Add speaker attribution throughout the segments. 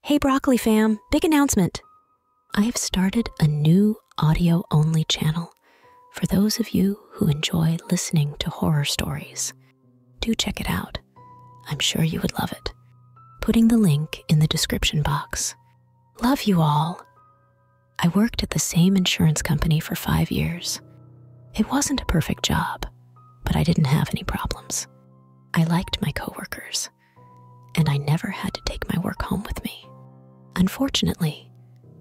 Speaker 1: Hey, Broccoli fam, big announcement. I have started a new audio only channel for those of you who enjoy listening to horror stories. Do check it out. I'm sure you would love it. Putting the link in the description box. Love you all. I worked at the same insurance company for five years. It wasn't a perfect job, but I didn't have any problems. I liked my coworkers and I never had to take my work home with me. Unfortunately,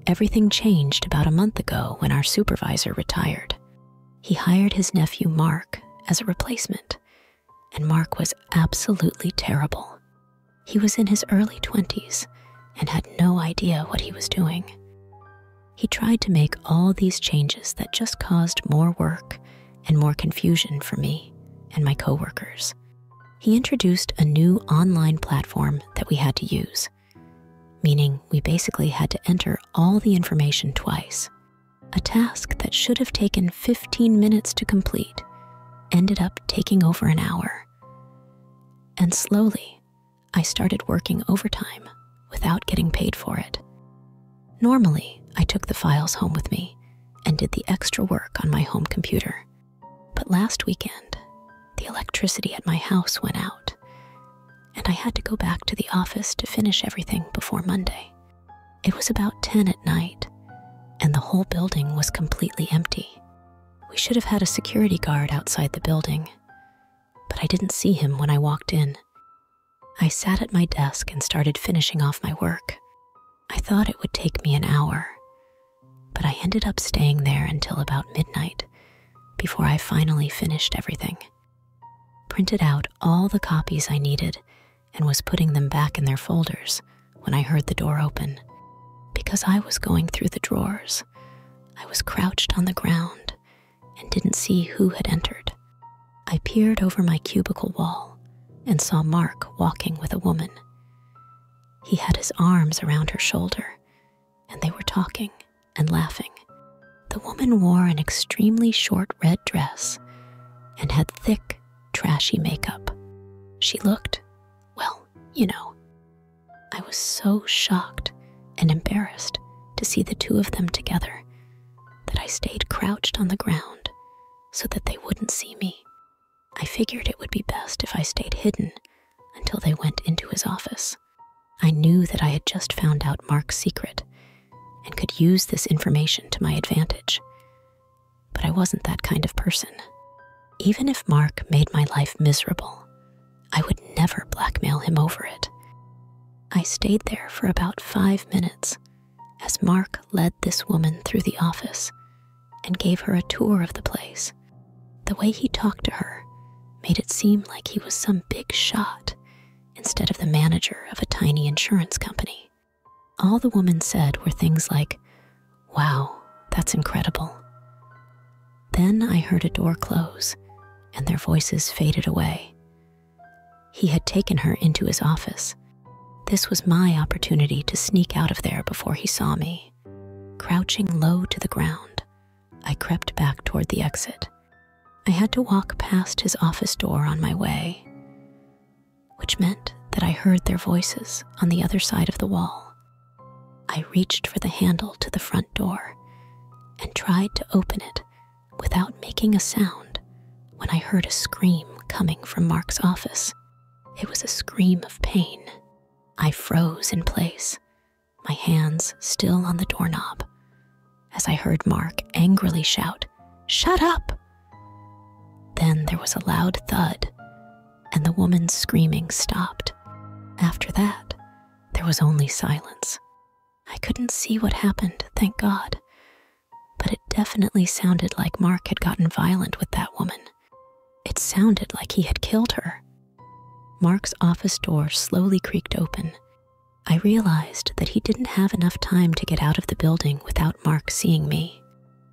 Speaker 1: everything changed about a month ago when our supervisor retired. He hired his nephew Mark as a replacement, and Mark was absolutely terrible. He was in his early 20s and had no idea what he was doing. He tried to make all these changes that just caused more work and more confusion for me and my coworkers. He introduced a new online platform that we had to use, meaning we basically had to enter all the information twice. A task that should have taken 15 minutes to complete ended up taking over an hour. And slowly, I started working overtime without getting paid for it. Normally, I took the files home with me and did the extra work on my home computer. But last weekend, the electricity at my house went out, and I had to go back to the office to finish everything before Monday. It was about 10 at night, and the whole building was completely empty. We should have had a security guard outside the building, but I didn't see him when I walked in. I sat at my desk and started finishing off my work. I thought it would take me an hour, but I ended up staying there until about midnight before I finally finished everything. Printed out all the copies I needed and was putting them back in their folders when I heard the door open. Because I was going through the drawers, I was crouched on the ground and didn't see who had entered. I peered over my cubicle wall and saw Mark walking with a woman. He had his arms around her shoulder, and they were talking and laughing. The woman wore an extremely short red dress and had thick, trashy makeup. She looked, well, you know. I was so shocked and embarrassed to see the two of them together that I stayed crouched on the ground so that they wouldn't see me. I figured it would be best if I stayed hidden until they went into his office. I knew that I had just found out Mark's secret and could use this information to my advantage. But I wasn't that kind of person. Even if Mark made my life miserable, I would never blackmail him over it. I stayed there for about five minutes as Mark led this woman through the office and gave her a tour of the place. The way he talked to her made it seem like he was some big shot instead of the manager of a tiny insurance company. All the woman said were things like, Wow, that's incredible. Then I heard a door close and their voices faded away. He had taken her into his office. This was my opportunity to sneak out of there before he saw me. Crouching low to the ground, I crept back toward the exit. I had to walk past his office door on my way, which meant that I heard their voices on the other side of the wall. I reached for the handle to the front door and tried to open it without making a sound when I heard a scream coming from Mark's office. It was a scream of pain. I froze in place, my hands still on the doorknob, as I heard Mark angrily shout, Shut up! Then there was a loud thud, and the woman's screaming stopped. After that, there was only silence. I couldn't see what happened, thank God, but it definitely sounded like Mark had gotten violent with that woman. It sounded like he had killed her. Mark's office door slowly creaked open. I realized that he didn't have enough time to get out of the building without Mark seeing me.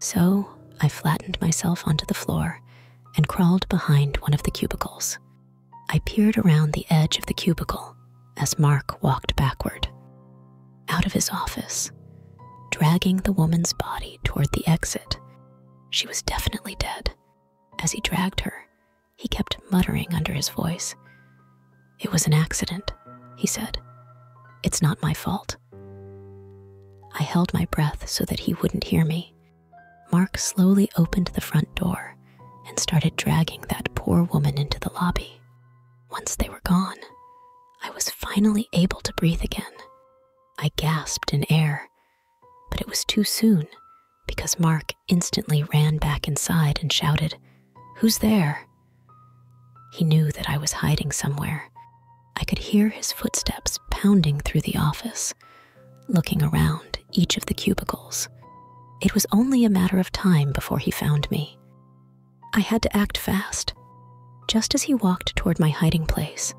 Speaker 1: So I flattened myself onto the floor and crawled behind one of the cubicles. I peered around the edge of the cubicle as Mark walked backward out of his office, dragging the woman's body toward the exit. She was definitely dead. As he dragged her, he kept muttering under his voice. It was an accident, he said. It's not my fault. I held my breath so that he wouldn't hear me. Mark slowly opened the front door and started dragging that poor woman into the lobby. Once they were gone, I was finally able to breathe again. I gasped in air, but it was too soon because Mark instantly ran back inside and shouted, Who's there? He knew that I was hiding somewhere. I could hear his footsteps pounding through the office, looking around each of the cubicles. It was only a matter of time before he found me. I had to act fast. Just as he walked toward my hiding place,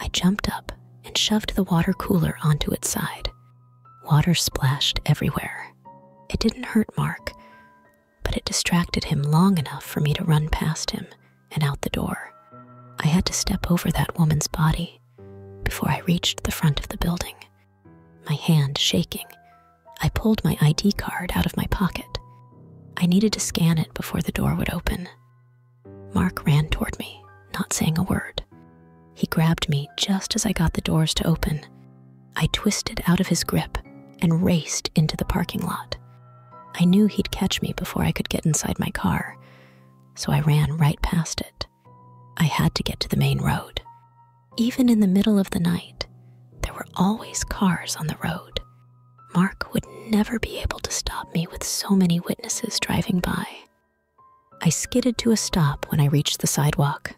Speaker 1: I jumped up and shoved the water cooler onto its side. Water splashed everywhere. It didn't hurt Mark, but it distracted him long enough for me to run past him and out the door. I had to step over that woman's body before I reached the front of the building, my hand shaking I pulled my ID card out of my pocket. I needed to scan it before the door would open. Mark ran toward me, not saying a word. He grabbed me just as I got the doors to open. I twisted out of his grip and raced into the parking lot. I knew he'd catch me before I could get inside my car, so I ran right past it. I had to get to the main road. Even in the middle of the night, there were always cars on the road. Mark would never be able to stop me with so many witnesses driving by. I skidded to a stop when I reached the sidewalk.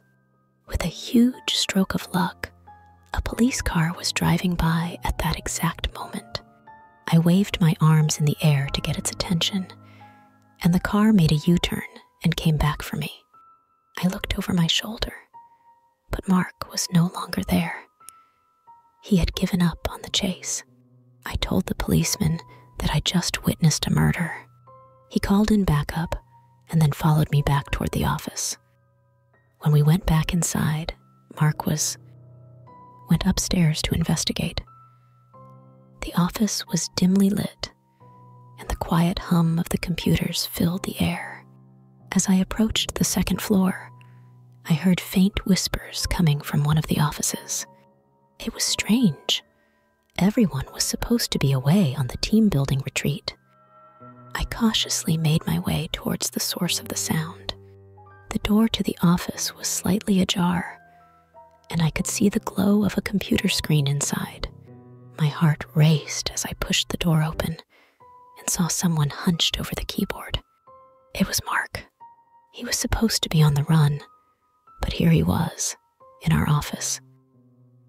Speaker 1: With a huge stroke of luck, a police car was driving by at that exact moment. I waved my arms in the air to get its attention, and the car made a U turn and came back for me. I looked over my shoulder but Mark was no longer there. He had given up on the chase. I told the policeman that I just witnessed a murder. He called in backup and then followed me back toward the office. When we went back inside, Mark was went upstairs to investigate. The office was dimly lit, and the quiet hum of the computers filled the air. As I approached the second floor, I heard faint whispers coming from one of the offices. It was strange. Everyone was supposed to be away on the team building retreat. I cautiously made my way towards the source of the sound. The door to the office was slightly ajar, and I could see the glow of a computer screen inside. My heart raced as I pushed the door open and saw someone hunched over the keyboard. It was Mark. He was supposed to be on the run, but here he was, in our office.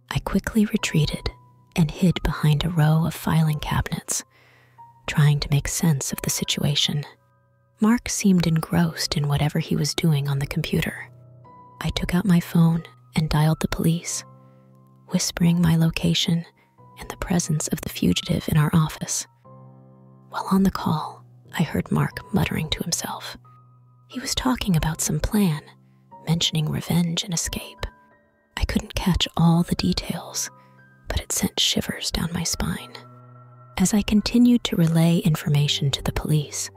Speaker 1: I quickly retreated and hid behind a row of filing cabinets, trying to make sense of the situation. Mark seemed engrossed in whatever he was doing on the computer. I took out my phone and dialed the police, whispering my location and the presence of the fugitive in our office. While on the call, I heard Mark muttering to himself. He was talking about some plan, mentioning revenge and escape. I couldn't catch all the details, but it sent shivers down my spine. As I continued to relay information to the police,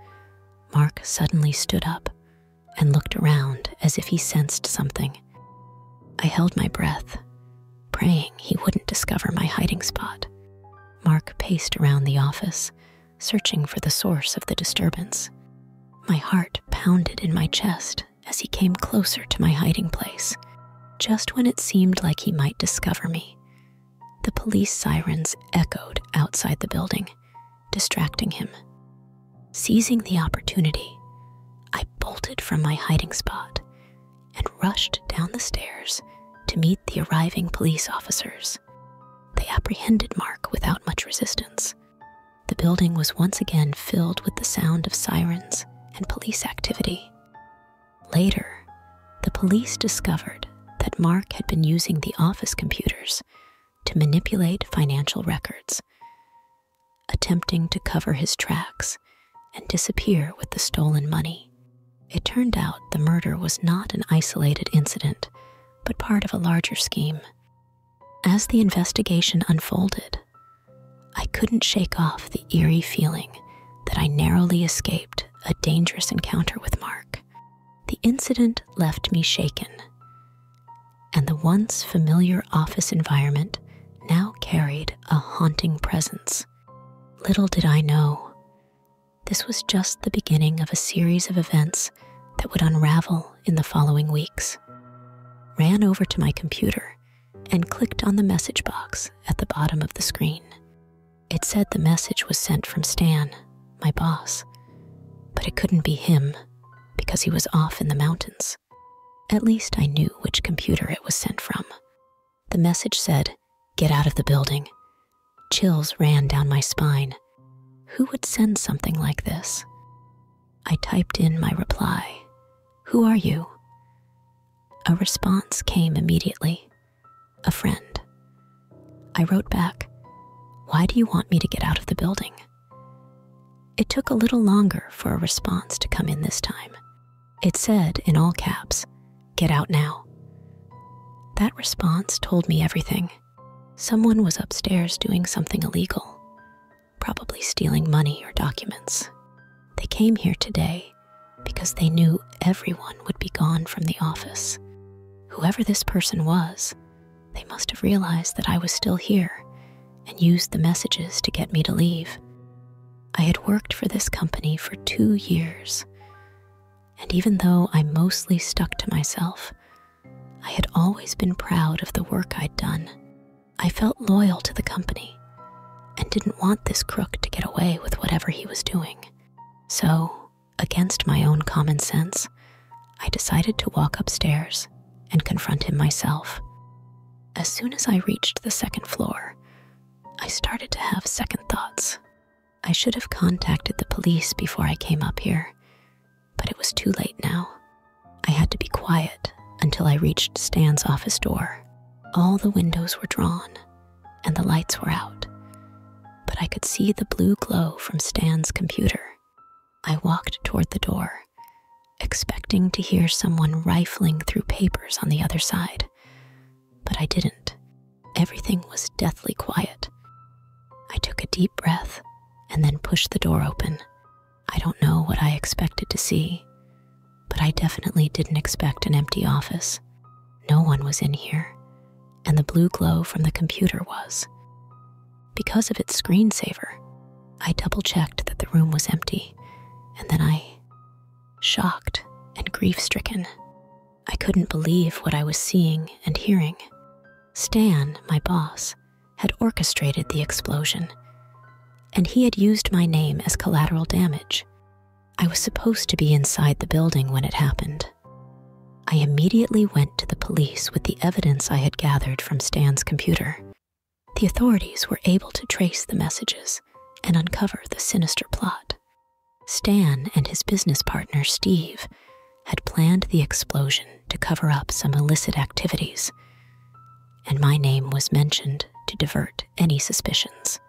Speaker 1: Mark suddenly stood up and looked around as if he sensed something. I held my breath, praying he wouldn't discover my hiding spot. Mark paced around the office, searching for the source of the disturbance. My heart pounded in my chest as he came closer to my hiding place. Just when it seemed like he might discover me, the police sirens echoed outside the building, distracting him. Seizing the opportunity, I bolted from my hiding spot and rushed down the stairs to meet the arriving police officers. They apprehended Mark without much resistance. The building was once again filled with the sound of sirens and police activity. Later, the police discovered that Mark had been using the office computers to manipulate financial records attempting to cover his tracks and disappear with the stolen money. It turned out the murder was not an isolated incident, but part of a larger scheme. As the investigation unfolded, I couldn't shake off the eerie feeling that I narrowly escaped a dangerous encounter with Mark. The incident left me shaken, and the once familiar office environment now carried a haunting presence. Little did I know, this was just the beginning of a series of events that would unravel in the following weeks. Ran over to my computer and clicked on the message box at the bottom of the screen. It said the message was sent from Stan, my boss, but it couldn't be him because he was off in the mountains. At least I knew which computer it was sent from. The message said, Get out of the building. Chills ran down my spine. Who would send something like this? I typed in my reply Who are you? A response came immediately a friend. I wrote back, Why do you want me to get out of the building? It took a little longer for a response to come in this time. It said, in all caps, Get out now. That response told me everything. Someone was upstairs doing something illegal, probably stealing money or documents. They came here today because they knew everyone would be gone from the office. Whoever this person was, they must have realized that I was still here and used the messages to get me to leave. I had worked for this company for two years, and even though I mostly stuck to myself, I had always been proud of the work I'd done. I felt loyal to the company and didn't want this crook to get away with whatever he was doing. So, against my own common sense, I decided to walk upstairs and confront him myself. As soon as I reached the second floor, I started to have second thoughts. I should have contacted the police before I came up here, but it was too late now. I had to be quiet until I reached Stan's office door. All the windows were drawn and the lights were out, but I could see the blue glow from Stan's computer. I walked toward the door expecting to hear someone rifling through papers on the other side. But I didn't. Everything was deathly quiet. I took a deep breath and then pushed the door open. I don't know what I expected to see, but I definitely didn't expect an empty office. No one was in here, and the blue glow from the computer was. Because of its screensaver, I double checked that the room was empty, and then I, shocked and grief stricken, I couldn't believe what I was seeing and hearing. Stan, my boss, had orchestrated the explosion, and he had used my name as collateral damage. I was supposed to be inside the building when it happened. I immediately went to the police with the evidence I had gathered from Stan's computer. The authorities were able to trace the messages and uncover the sinister plot. Stan and his business partner, Steve, had planned the explosion to cover up some illicit activities, and my name was mentioned to divert any suspicions.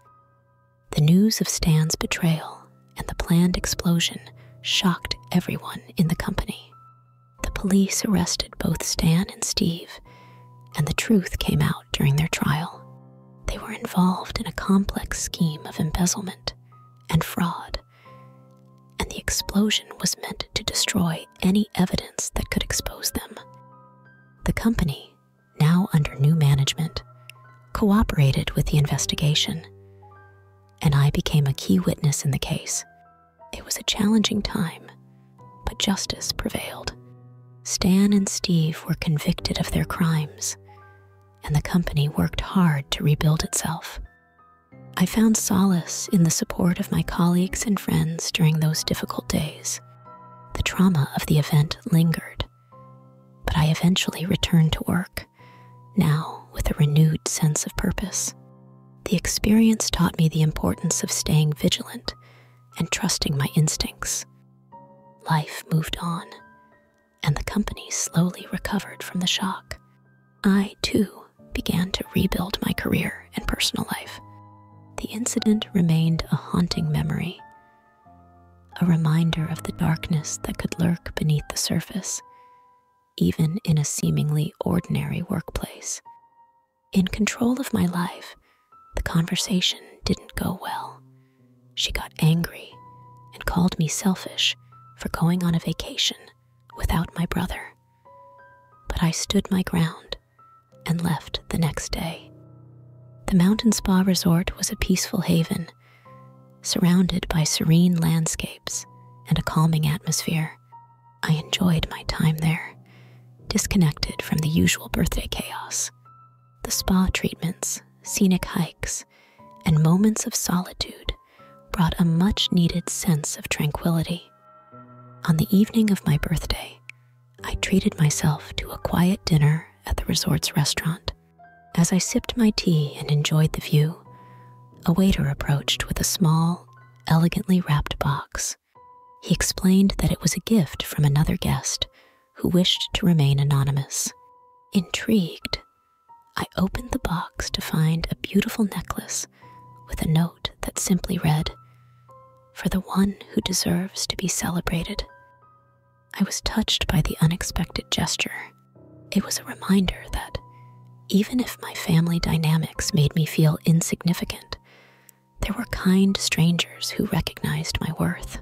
Speaker 1: The news of Stan's betrayal and the planned explosion shocked everyone in the company. The police arrested both Stan and Steve and the truth came out during their trial. They were involved in a complex scheme of embezzlement and fraud, and the explosion was meant to destroy any evidence that could expose them. The company, now under new management, cooperated with the investigation, and I became a key witness in the case. It was a challenging time but justice prevailed. Stan and Steve were convicted of their crimes, and the company worked hard to rebuild itself. I found solace in the support of my colleagues and friends during those difficult days. The trauma of the event lingered, but I eventually returned to work, now with a renewed sense of purpose. The experience taught me the importance of staying vigilant and trusting my instincts. Life moved on, and the company slowly recovered from the shock. I, too, began to rebuild my career and personal life. The incident remained a haunting memory, a reminder of the darkness that could lurk beneath the surface, even in a seemingly ordinary workplace. In control of my life, the conversation didn't go well. She got angry and called me selfish for going on a vacation without my brother. But I stood my ground and left the next day. The Mountain Spa Resort was a peaceful haven, surrounded by serene landscapes and a calming atmosphere. I enjoyed my time there disconnected from the usual birthday chaos. The spa treatments, scenic hikes, and moments of solitude brought a much needed sense of tranquility. On the evening of my birthday, I treated myself to a quiet dinner at the resort's restaurant. As I sipped my tea and enjoyed the view, a waiter approached with a small, elegantly wrapped box he explained that it was a gift from another guest who wished to remain anonymous. Intrigued, I opened the box to find a beautiful necklace with a note that simply read, For the one who deserves to be celebrated. I was touched by the unexpected gesture. It was a reminder that even if my family dynamics made me feel insignificant, there were kind strangers who recognized my worth.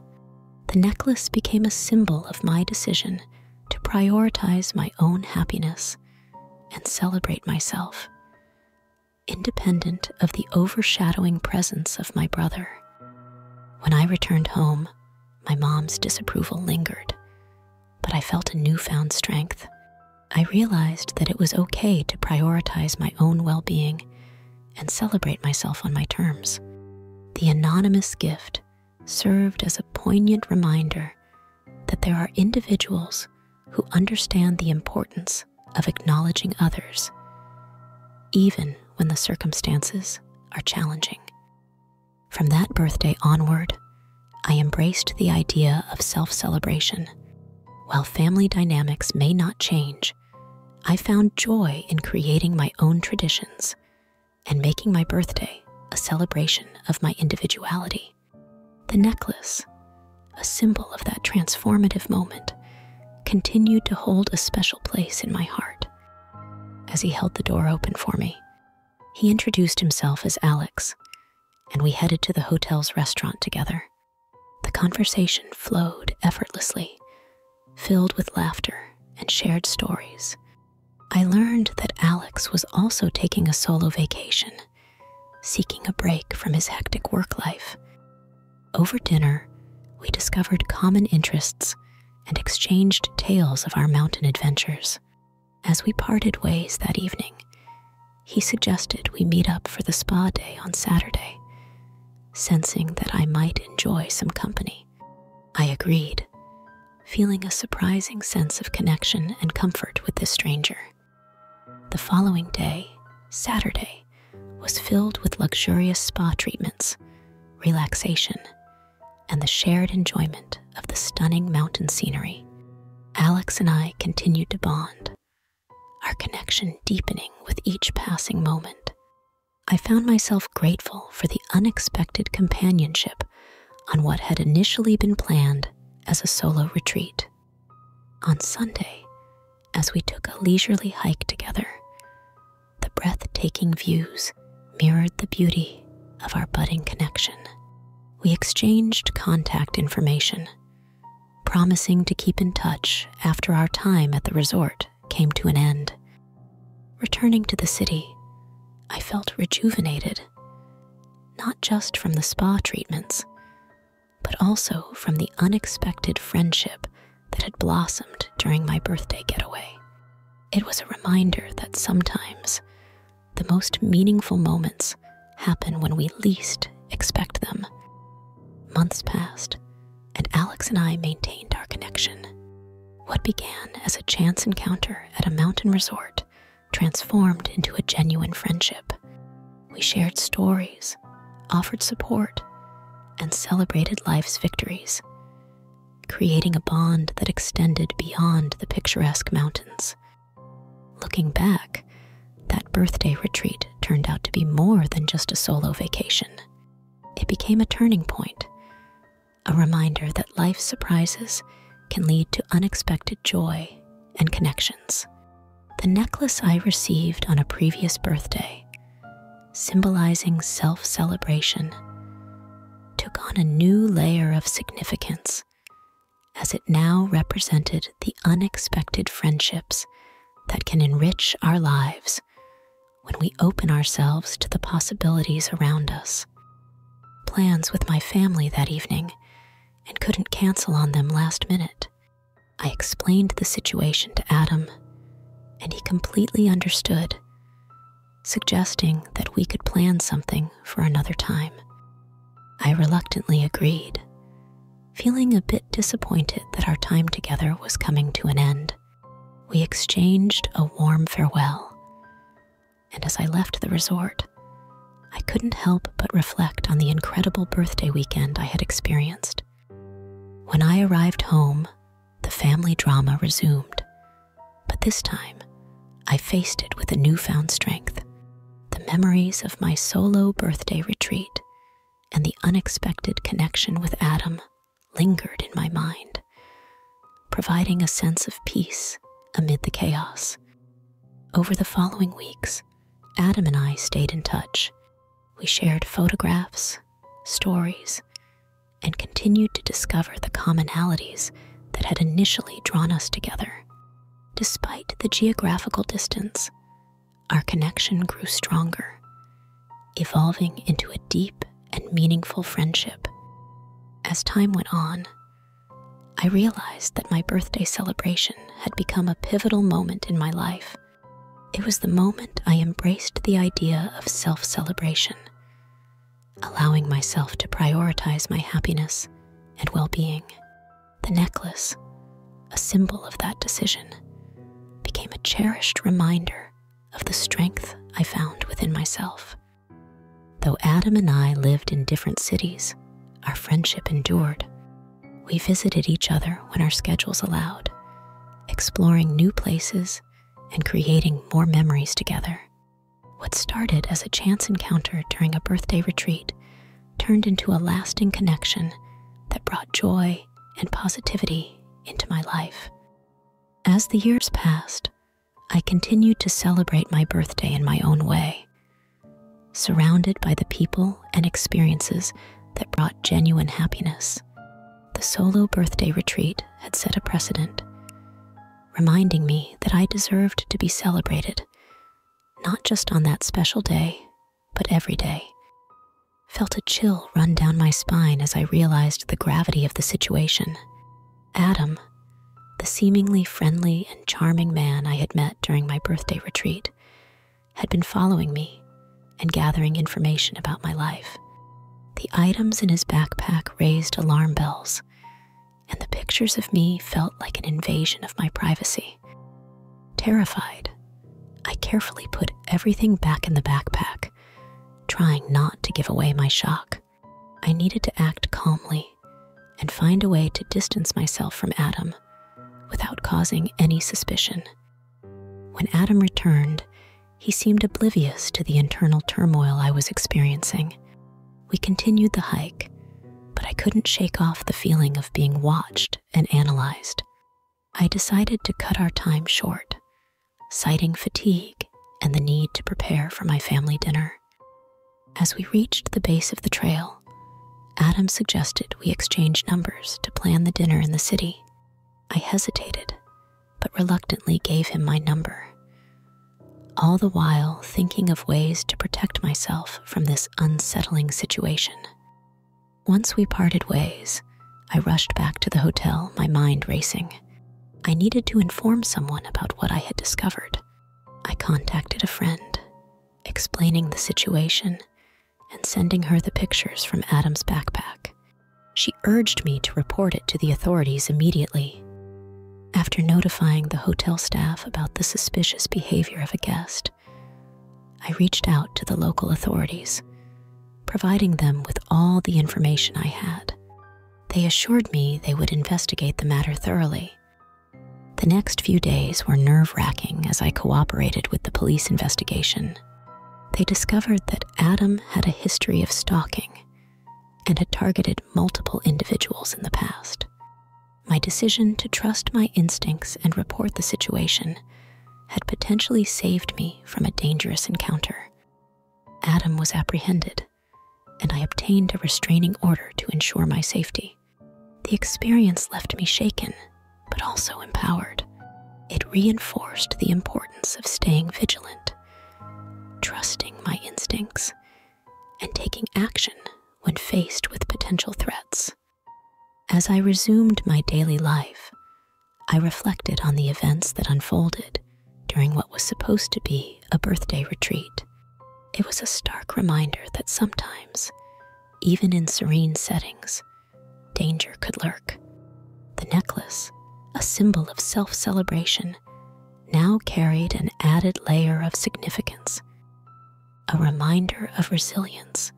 Speaker 1: The necklace became a symbol of my decision to prioritize my own happiness and celebrate myself, independent of the overshadowing presence of my brother. When I returned home, my mom's disapproval lingered, but I felt a newfound strength. I realized that it was okay to prioritize my own well being and celebrate myself on my terms. The anonymous gift served as a poignant reminder that there are individuals who understand the importance of acknowledging others, even when the circumstances are challenging. From that birthday onward, I embraced the idea of self celebration. While family dynamics may not change, I found joy in creating my own traditions and making my birthday a celebration of my individuality. The necklace, a symbol of that transformative moment, continued to hold a special place in my heart. As he held the door open for me, he introduced himself as Alex, and we headed to the hotel's restaurant together. The conversation flowed effortlessly, filled with laughter and shared stories. I learned that Alex was also taking a solo vacation, seeking a break from his hectic work life. Over dinner, we discovered common interests and exchanged tales of our mountain adventures. As we parted ways that evening, he suggested we meet up for the spa day on Saturday sensing that I might enjoy some company. I agreed, feeling a surprising sense of connection and comfort with this stranger. The following day, Saturday, was filled with luxurious spa treatments, relaxation, and the shared enjoyment of the stunning mountain scenery. Alex and I continued to bond, our connection deepening with each passing moment. I found myself grateful for the unexpected companionship on what had initially been planned as a solo retreat. On Sunday, as we took a leisurely hike together, the breathtaking views mirrored the beauty of our budding connection. We exchanged contact information promising to keep in touch after our time at the resort came to an end. Returning to the city, I felt rejuvenated, not just from the spa treatments, but also from the unexpected friendship that had blossomed during my birthday getaway. It was a reminder that sometimes the most meaningful moments happen when we least expect them. Months passed, and Alex and I maintained our connection. What began as a chance encounter at a mountain resort transformed into a genuine friendship. We shared stories, offered support, and celebrated life's victories, creating a bond that extended beyond the picturesque mountains. Looking back, that birthday retreat turned out to be more than just a solo vacation. It became a turning point, a reminder that life's surprises can lead to unexpected joy and connections. The necklace I received on a previous birthday, symbolizing self celebration, took on a new layer of significance as it now represented the unexpected friendships that can enrich our lives when we open ourselves to the possibilities around us. Plans with my family that evening and couldn't cancel on them last minute. I explained the situation to Adam, and he completely understood, suggesting that we could plan something for another time. I reluctantly agreed, Feeling a bit disappointed that our time together was coming to an end, we exchanged a warm farewell. And as I left the resort, I couldn't help but reflect on the incredible birthday weekend I had experienced. When I arrived home, the family drama resumed, but this time I faced it with a newfound strength. The memories of my solo birthday retreat and the unexpected connection with Adam lingered in my mind, providing a sense of peace amid the chaos. Over the following weeks, Adam and I stayed in touch. We shared photographs, stories, and continued to discover the commonalities that had initially drawn us together. Despite the geographical distance, our connection grew stronger, evolving into a deep and meaningful friendship. As time went on, I realized that my birthday celebration had become a pivotal moment in my life. It was the moment I embraced the idea of self celebration, allowing myself to prioritize my happiness and well being. The necklace, a symbol of that decision, became a cherished reminder of the strength I found within myself. Though Adam and I lived in different cities, our friendship endured. We visited each other when our schedules allowed, exploring new places and creating more memories together. What started as a chance encounter during a birthday retreat turned into a lasting connection that brought joy and positivity into my life. As the years passed, I continued to celebrate my birthday in my own way, surrounded by the people and experiences that brought genuine happiness. The solo birthday retreat had set a precedent, reminding me that I deserved to be celebrated, not just on that special day, but every day. Felt a chill run down my spine as I realized the gravity of the situation. Adam, the seemingly friendly and charming man I had met during my birthday retreat, had been following me and gathering information about my life. The items in his backpack raised alarm bells, and the pictures of me felt like an invasion of my privacy. Terrified, I carefully put everything back in the backpack, trying not to give away my shock. I needed to act calmly and find a way to distance myself from Adam without causing any suspicion. When Adam returned, he seemed oblivious to the internal turmoil I was experiencing. We continued the hike, but I couldn't shake off the feeling of being watched and analyzed. I decided to cut our time short, citing fatigue and the need to prepare for my family dinner. As we reached the base of the trail, Adam suggested we exchange numbers to plan the dinner in the city. I hesitated, but reluctantly gave him my number, all the while thinking of ways to protect myself from this unsettling situation. Once we parted ways, I rushed back to the hotel, my mind racing. I needed to inform someone about what I had discovered. I contacted a friend, explaining the situation and sending her the pictures from Adam's backpack. She urged me to report it to the authorities immediately. After notifying the hotel staff about the suspicious behavior of a guest, I reached out to the local authorities, providing them with all the information I had. They assured me they would investigate the matter thoroughly. The next few days were nerve wracking as I cooperated with the police investigation. They discovered that Adam had a history of stalking and had targeted multiple individuals in the past. My decision to trust my instincts and report the situation had potentially saved me from a dangerous encounter. Adam was apprehended, and I obtained a restraining order to ensure my safety. The experience left me shaken, but also empowered. It reinforced the importance of staying vigilant, trusting my instincts, and taking action when faced with potential threats. As I resumed my daily life, I reflected on the events that unfolded during what was supposed to be a birthday retreat. It was a stark reminder that sometimes, even in serene settings, danger could lurk. The necklace, a symbol of self celebration, now carried an added layer of significance, a reminder of resilience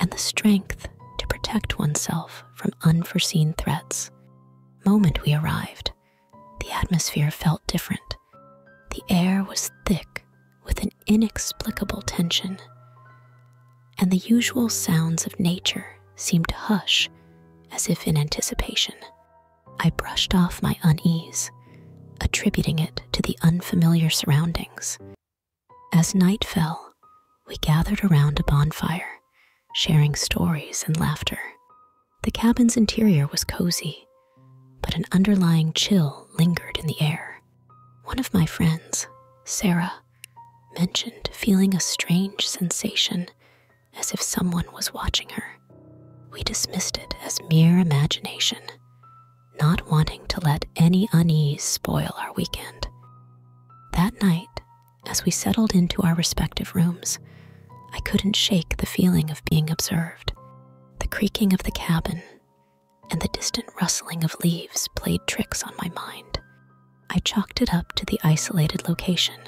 Speaker 1: and the strength to protect oneself from unforeseen threats. Moment we arrived, the atmosphere felt different. The air was thick with an inexplicable tension, and the usual sounds of nature seemed to hush as if in anticipation. I brushed off my unease, attributing it to the unfamiliar surroundings. As night fell, we gathered around a bonfire, sharing stories and laughter. The cabin's interior was cozy, but an underlying chill lingered in the air. One of my friends, Sarah, mentioned feeling a strange sensation as if someone was watching her. We dismissed it as mere imagination, not wanting to let any unease spoil our weekend. That night, as we settled into our respective rooms, I couldn't shake the feeling of being observed. The creaking of the cabin and the distant rustling of leaves played tricks on my mind. I chalked it up to the isolated location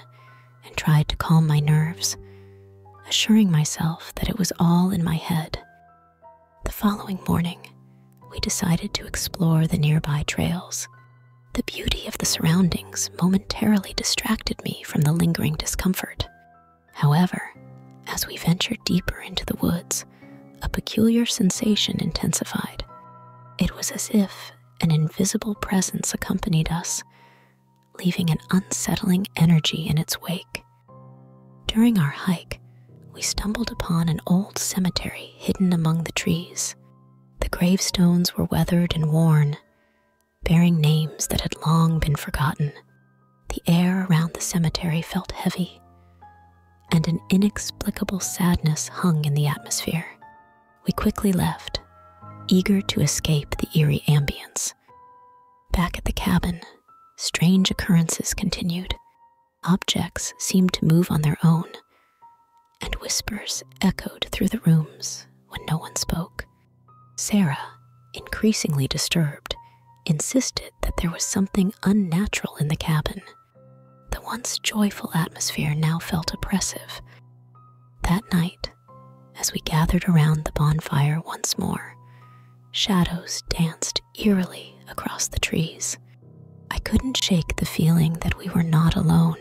Speaker 1: and tried to calm my nerves, assuring myself that it was all in my head. The following morning, we decided to explore the nearby trails. The beauty of the surroundings momentarily distracted me from the lingering discomfort. However, as we ventured deeper into the woods, a peculiar sensation intensified. It was as if an invisible presence accompanied us, leaving an unsettling energy in its wake. During our hike, we stumbled upon an old cemetery hidden among the trees. The gravestones were weathered and worn, bearing names that had long been forgotten. The air around the cemetery felt heavy, and an inexplicable sadness hung in the atmosphere. We quickly left, eager to escape the eerie ambience. Back at the cabin, strange occurrences continued. Objects seemed to move on their own, and whispers echoed through the rooms when no one spoke. Sarah, increasingly disturbed, insisted that there was something unnatural in the cabin. The once joyful atmosphere now felt oppressive. That night, as we gathered around the bonfire once more, shadows danced eerily across the trees. I couldn't shake the feeling that we were not alone.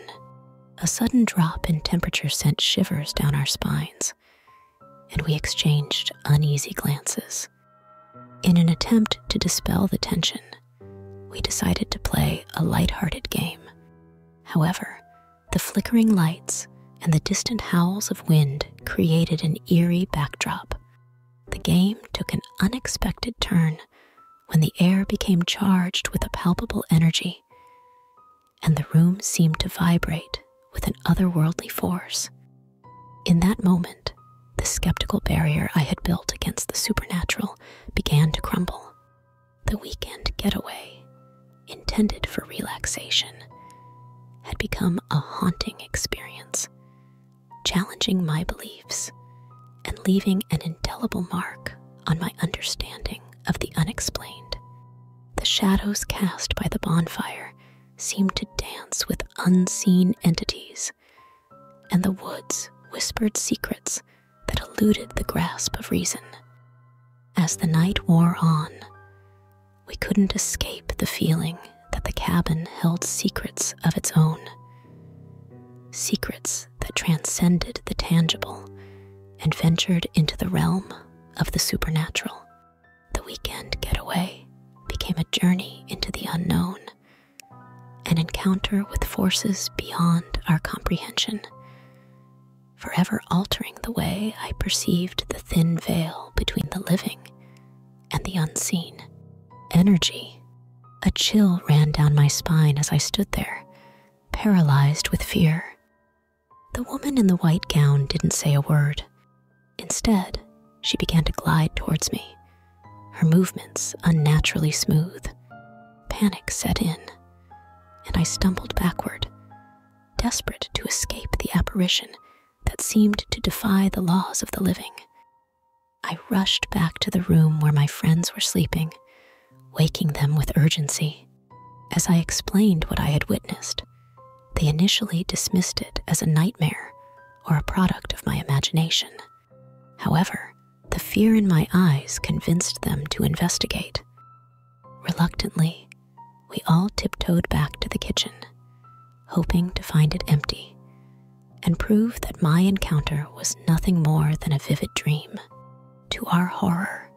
Speaker 1: A sudden drop in temperature sent shivers down our spines, and we exchanged uneasy glances. In an attempt to dispel the tension, we decided to play a light-hearted game. However, the flickering lights and the distant howls of wind created an eerie backdrop. The game took an unexpected turn, when the air became charged with a palpable energy, and the room seemed to vibrate with an otherworldly force. In that moment, the skeptical barrier I had built against the supernatural began to crumble. The weekend getaway, intended for relaxation, had become a haunting experience, challenging my beliefs and leaving an indelible mark on my understanding of the unexplained. The shadows cast by the bonfire seemed to dance with unseen entities, and the woods whispered secrets that eluded the grasp of reason. As the night wore on, we couldn't escape the feeling that the cabin held secrets of its own secrets that transcended the tangible and ventured into the realm of the supernatural. The weekend getaway became a journey into the unknown, an encounter with forces beyond our comprehension, forever altering the way I perceived the thin veil between the living and the unseen energy. A chill ran down my spine as I stood there, paralyzed with fear. The woman in the white gown didn't say a word. Instead, she began to glide towards me, her movements unnaturally smooth. Panic set in, and I stumbled backward, desperate to escape the apparition that seemed to defy the laws of the living. I rushed back to the room where my friends were sleeping, waking them with urgency. As I explained what I had witnessed, they initially dismissed it as a nightmare or a product of my imagination. However, the fear in my eyes convinced them to investigate. Reluctantly, we all tiptoed back to the kitchen, hoping to find it empty, and prove that my encounter was nothing more than a vivid dream. To our horror,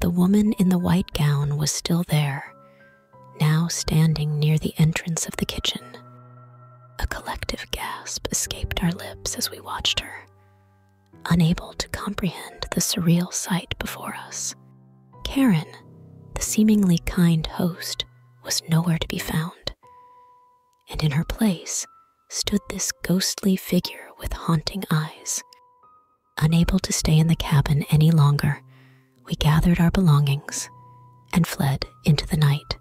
Speaker 1: the woman in the white gown was still there, now standing near the entrance of the kitchen. A collective gasp escaped our lips as we watched her, unable to comprehend the surreal sight before us. Karen, the seemingly kind host, was nowhere to be found, and in her place, stood this ghostly figure with haunting eyes. Unable to stay in the cabin any longer, we gathered our belongings and fled into the night.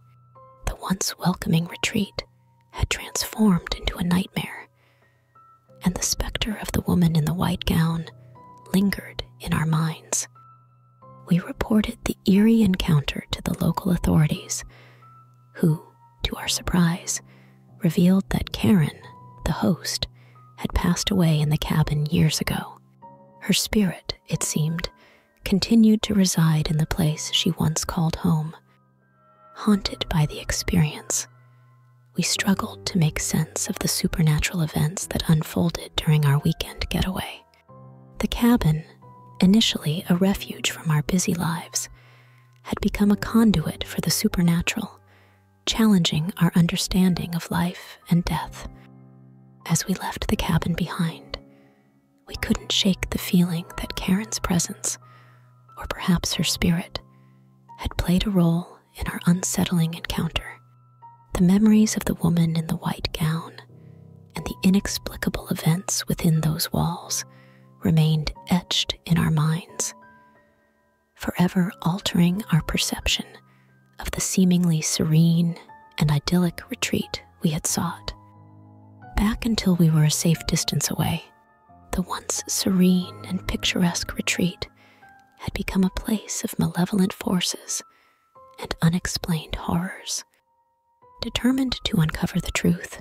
Speaker 1: The once welcoming retreat had transformed into a nightmare, and the specter of the woman in the white gown lingered in our minds. We reported the eerie encounter to the local authorities, who to our surprise, revealed that Karen, the host, had passed away in the cabin years ago. Her spirit, it seemed, continued to reside in the place she once called home. Haunted by the experience, we struggled to make sense of the supernatural events that unfolded during our weekend getaway. The cabin, initially a refuge from our busy lives, had become a conduit for the supernatural, challenging our understanding of life and death. As we left the cabin behind, we couldn't shake the feeling that Karen's presence, or perhaps her spirit, had played a role in our unsettling encounter. The memories of the woman in the white gown and the inexplicable events within those walls remained etched in our minds, forever altering our perception of the seemingly serene and idyllic retreat we had sought. Back until we were a safe distance away, the once serene and picturesque retreat had become a place of malevolent forces and unexplained horrors. Determined to uncover the truth,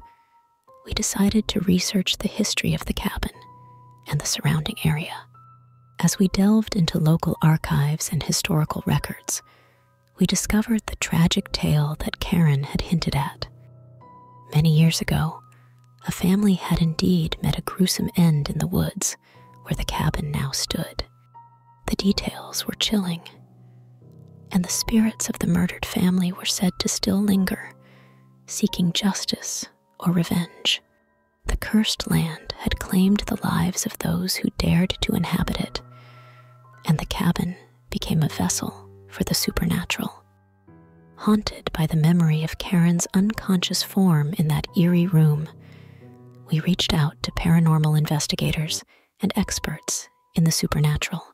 Speaker 1: we decided to research the history of the cabin and the surrounding area. As we delved into local archives and historical records, we discovered the tragic tale that Karen had hinted at. Many years ago, a family had indeed met a gruesome end in the woods where the cabin now stood. The details were chilling and the spirits of the murdered family were said to still linger, seeking justice or revenge. The cursed land had claimed the lives of those who dared to inhabit it, and the cabin became a vessel for the supernatural. Haunted by the memory of Karen's unconscious form in that eerie room, we reached out to paranormal investigators and experts in the supernatural.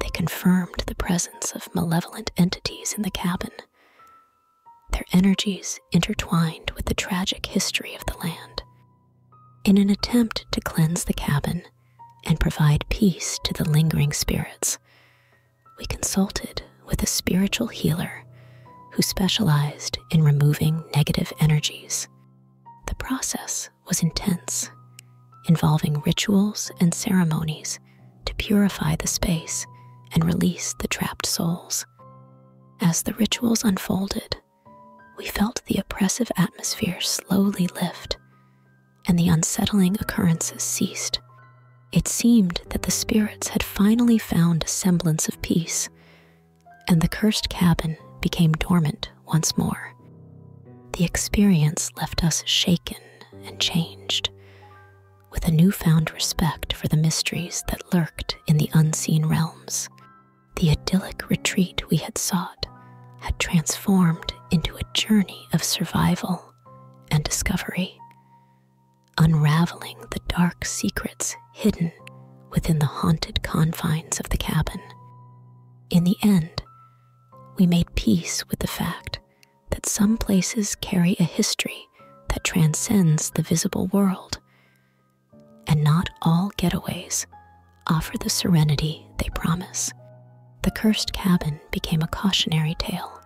Speaker 1: They confirmed the presence of malevolent entities in the cabin. Their energies intertwined with the tragic history of the land. In an attempt to cleanse the cabin and provide peace to the lingering spirits, we consulted with a spiritual healer who specialized in removing negative energies. The process was intense, involving rituals and ceremonies to purify the space and release the trapped souls. As the rituals unfolded, we felt the oppressive atmosphere slowly lift and the unsettling occurrences ceased. It seemed that the spirits had finally found a semblance of peace, and the cursed cabin became dormant once more. The experience left us shaken and changed, with a newfound respect for the mysteries that lurked in the unseen realms. The idyllic retreat we had sought had transformed into a journey of survival and discovery, unraveling the dark secrets hidden within the haunted confines of the cabin. In the end, we made peace with the fact that some places carry a history that transcends the visible world, and not all getaways offer the serenity they promise. The Cursed Cabin became a cautionary tale,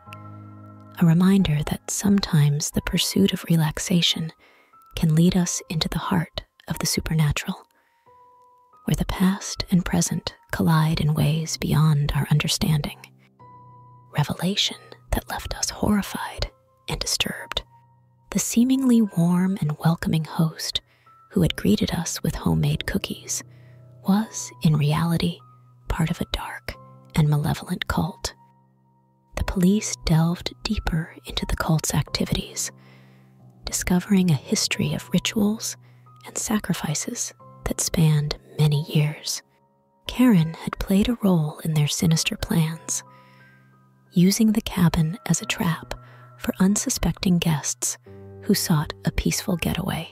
Speaker 1: a reminder that sometimes the pursuit of relaxation can lead us into the heart of the supernatural where the past and present collide in ways beyond our understanding. Revelation that left us horrified and disturbed. The seemingly warm and welcoming host who had greeted us with homemade cookies was, in reality, part of a dark and malevolent cult. The police delved deeper into the cult's activities, discovering a history of rituals and sacrifices that spanned many years. Karen had played a role in their sinister plans, using the cabin as a trap for unsuspecting guests who sought a peaceful getaway.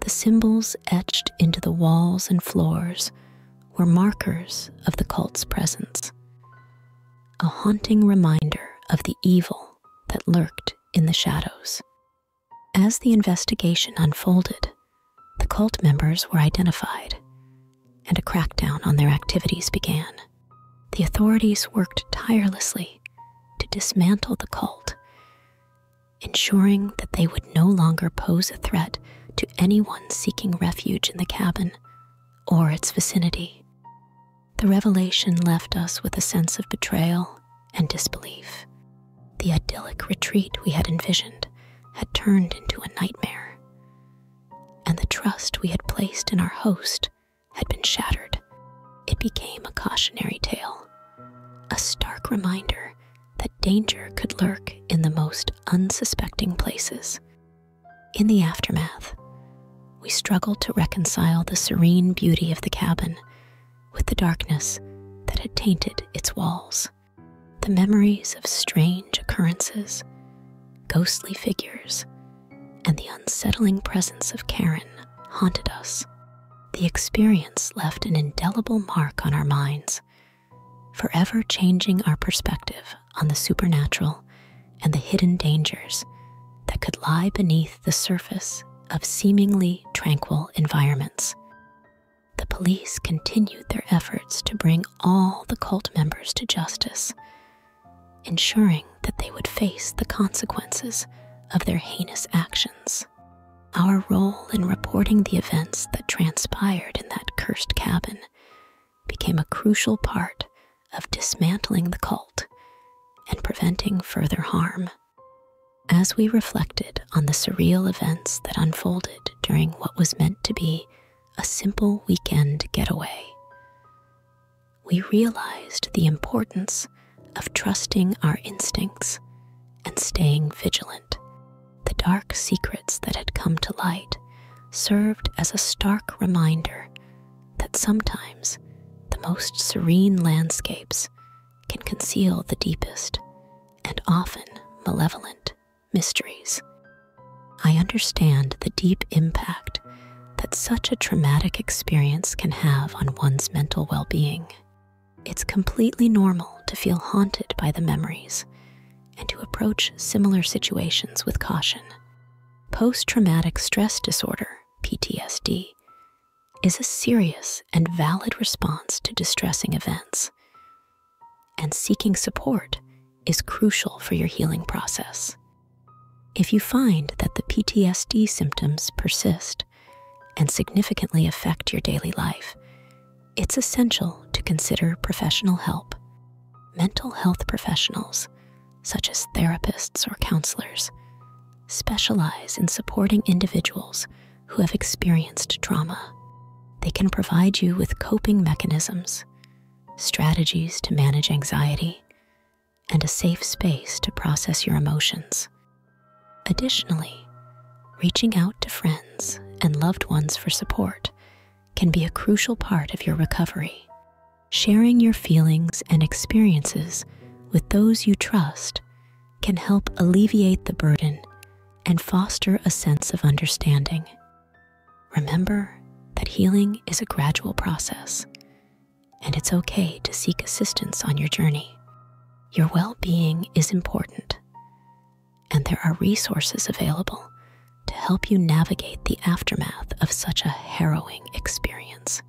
Speaker 1: The symbols etched into the walls and floors were markers of the cult's presence, a haunting reminder of the evil that lurked in the shadows. As the investigation unfolded, the cult members were identified, and a crackdown on their activities began. The authorities worked tirelessly to dismantle the cult, ensuring that they would no longer pose a threat to anyone seeking refuge in the cabin or its vicinity. The revelation left us with a sense of betrayal and disbelief. The idyllic retreat we had envisioned had turned into a nightmare, and the trust we had placed in our host had been shattered. It became a cautionary tale, a stark reminder that danger could lurk in the most unsuspecting places. In the aftermath, we struggled to reconcile the serene beauty of the cabin with the darkness that had tainted its walls. The memories of strange occurrences, ghostly figures, and the unsettling presence of Karen haunted us. The experience left an indelible mark on our minds, forever changing our perspective on the supernatural and the hidden dangers that could lie beneath the surface of seemingly tranquil environments. The police continued their efforts to bring all the cult members to justice, ensuring that they would face the consequences of their heinous actions. Our role in reporting the events that transpired in that cursed cabin became a crucial part of dismantling the cult and preventing further harm. As we reflected on the surreal events that unfolded during what was meant to be a simple weekend getaway, we realized the importance of trusting our instincts and staying vigilant. The dark secrets that had come to light served as a stark reminder that sometimes the most serene landscapes can conceal the deepest and often malevolent mysteries. I understand the deep impact that such a traumatic experience can have on one's mental well being. It's completely normal to feel haunted by the memories and to approach similar situations with caution. Post traumatic stress disorder, PTSD, is a serious and valid response to distressing events, and seeking support is crucial for your healing process. If you find that the PTSD symptoms persist and significantly affect your daily life, it's essential to consider professional help. Mental health professionals, such as therapists or counselors, specialize in supporting individuals who have experienced trauma. They can provide you with coping mechanisms, strategies to manage anxiety, and a safe space to process your emotions. Additionally, reaching out to friends and loved ones for support can be a crucial part of your recovery. Sharing your feelings and experiences with those you trust can help alleviate the burden and foster a sense of understanding. Remember that healing is a gradual process, and it's okay to seek assistance on your journey. Your well being is important, and there are resources available to help you navigate the aftermath of such a harrowing experience.